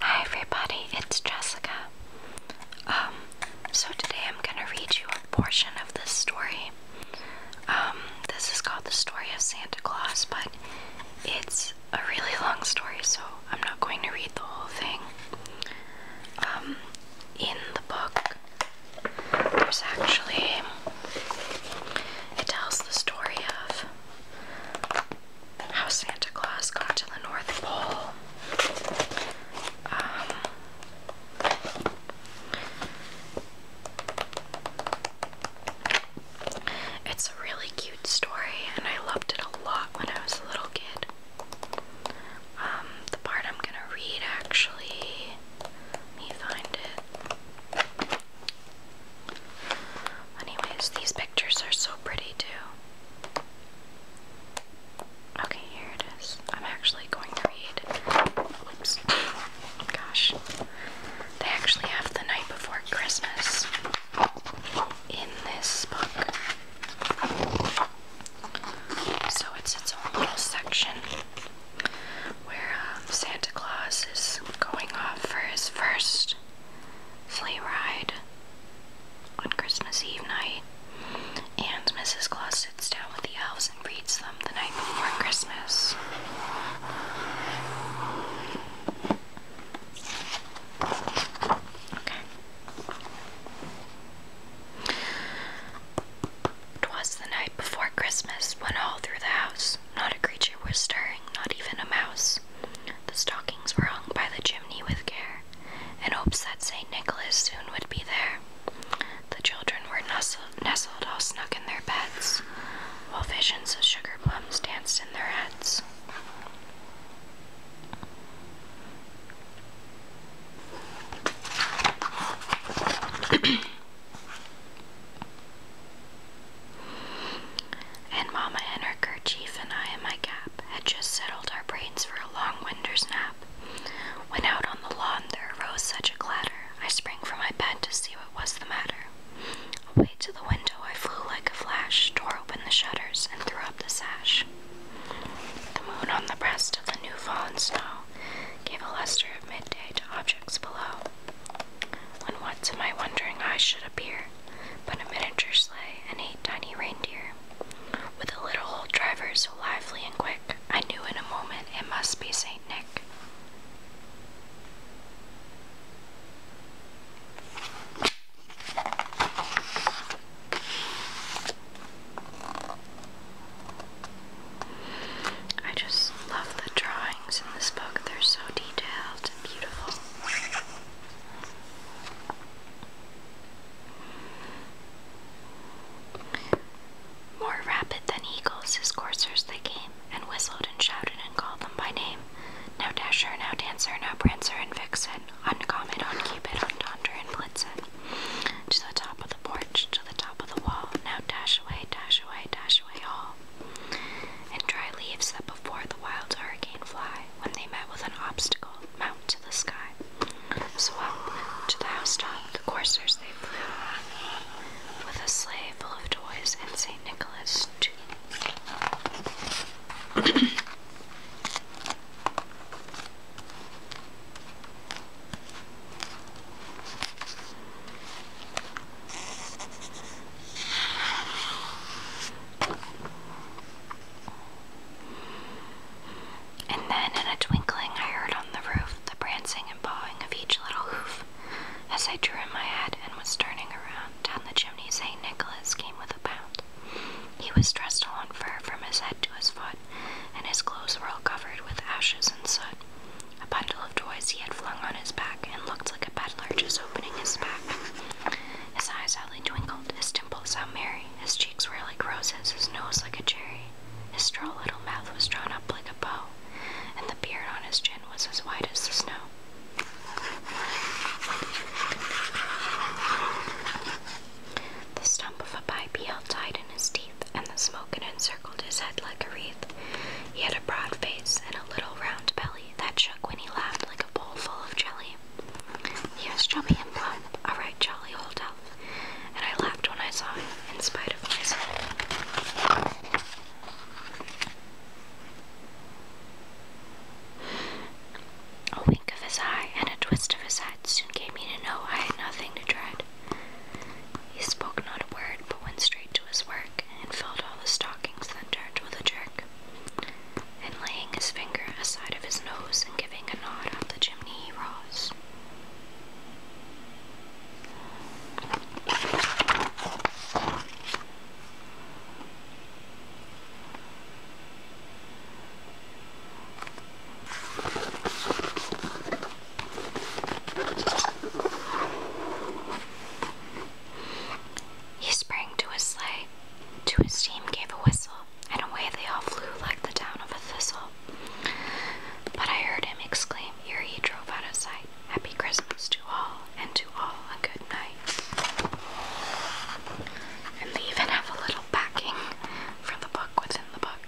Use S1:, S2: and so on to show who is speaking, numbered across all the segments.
S1: Hi everybody, it's Jessica. Um, so today I'm gonna read you a portion of this story. Um, this is called The Story of Santa Claus, but it's a really long story, so I'm not going to read the whole thing. Um, in the book, there's actually, it tells the story of how Santa Claus got to the North Pole. Um, it's a really cute story, and I loved it a lot when I was a little kid. Um, the part I'm gonna read actually, let me find it. Anyways, these pictures are so pretty too. Okay, here it is. I'm actually going to read. Oops. Gosh. They actually have The Night Before Christmas in this book. So it's its own little section where um, Santa Claus is going off for his first Christmas sleigh ride on Christmas Eve night, and Mrs. Claus sits down with the elves and reads them the night before Christmas. Okay. 'Twas the night before Christmas when all through the house not a creature was stirring, not even a mouse. The stockings were hung by the chimney with care, in hopes that St. Nicholas soon would be there. The children were nestled all snug in their beds, while visions of sugar plums danced in their heads. And Mamma and her kerchief and I in my cap had just settled our brains for a long winter's nap. When out on the lawn there arose such a clatter, I sprang from my bed to see what was the matter. Away to the window I flew like a flash, tore open the shutters, and threw up the sash. The moon on the breast of the new fallen snow gave a luster of midday to objects below. When what to my wondering eyes should appear but a miniature sleigh and eight tiny reindeer. With a little old driver so lively and quick, I knew in a moment it must be St. Nick. I just love the drawings in this book, they're so detailed. More rapid than eagles, his coursers they came, and whistled and shouted and called them by name. Now Dasher, now Dancer, now Prancer and Vixen, on Comet, on Cupid, on Donder and Blitzen. To the top of the porch, to the top of the wall, now dash away, dash away, dash away all and dry leaves that before the wild hurricane fly, when they met with an obstacle, mount to the sky. So up to the house top. the coursers they flew, with a sleigh full of toys and St. Nicholas too. And then, in a twinkling, I heard on the roof the prancing and pawing of each little hoof. As I drew in my head and was turning around, down the chimney St. Nicholas came with a bound. He was dressed all in fur from his head to his foot, and his clothes were all covered with ashes and soot. A bundle of toys he had flung on his back and looked like a pedlar just opening his pack. His eyes hardly twinkled, his dimples how merry, his cheeks were like roses, his nose like a cherry, his straw little mouth was drawn up like a bow, and the beard on his chin was as white as the snow. The stump of a pipe he held tight in his teeth, and the smoke had encircled his head like a wreath. He had a broad face and a little round belly that shook when he laughed like a bowl full of jelly. He was chummy and plump, all right, jolly old elf, and I laughed when I saw him, in spite of myself. A wink of his eye and a twist of his head soon gave me to know I had nothing to dread. He spoke not a word, but went straight to his work, and filled all the stockings and dirt with a jerk, and laying his finger aside of his nose and giving a nod up the chimney he rose. He sprang to his sleigh. To his team gave a whistle, and away they all flew like the down of a thistle. But I heard him exclaim ere he drove out of sight, Happy Christmas to all, and to all a good night. And they even have a little backing for the book within the book,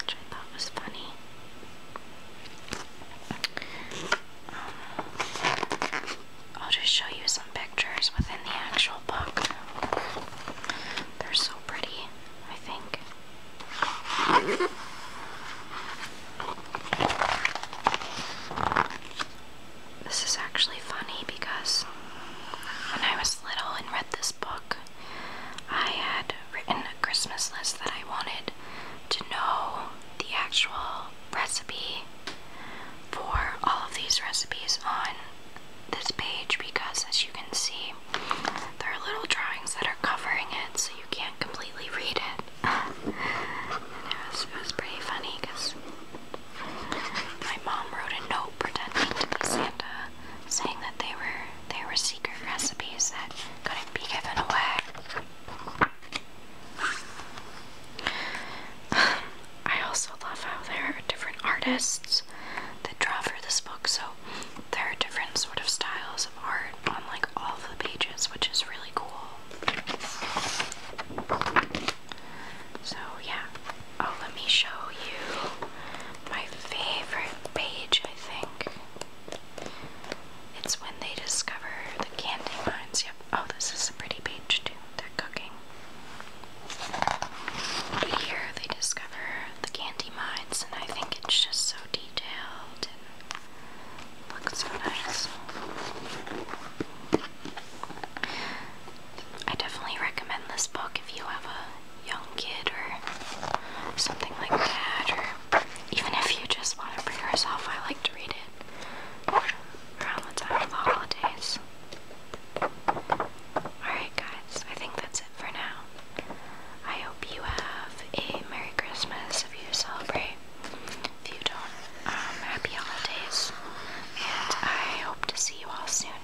S1: which I thought was funny. I'll just show you some pictures within the actual book. They're so pretty, I think. This is actually funny because when I was little and read this book, I had written a Christmas list that I wanted to know the actual recipe for all of these recipes on this page because as you can see there are little drawings that are covering it so you can't completely read it. and it was, it was pretty funny because my mom wrote a note pretending to be Santa saying that they were they were secret recipes that couldn't be given away. I also love how there are different artists that draw for this book, so there are different sort of styles of art on like all of the pages, which is really cool. So yeah. Oh, let me show you my favorite page, I think. It's when they discover the candy mines. Yep. Oh, this is a pretty page too. They're cooking. here they discover the candy mines, and I think it's just so detailed and looks nice. I definitely recommend this book if you have a young kid or something like that, or even if you just want to for yourself, I like to read it around the time of the holidays. Alright, guys, I think that's it for now. I hope you have a Merry Christmas if you celebrate. If you don't, um, happy holidays. And I hope to see you all soon.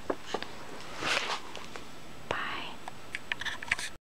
S1: Bye.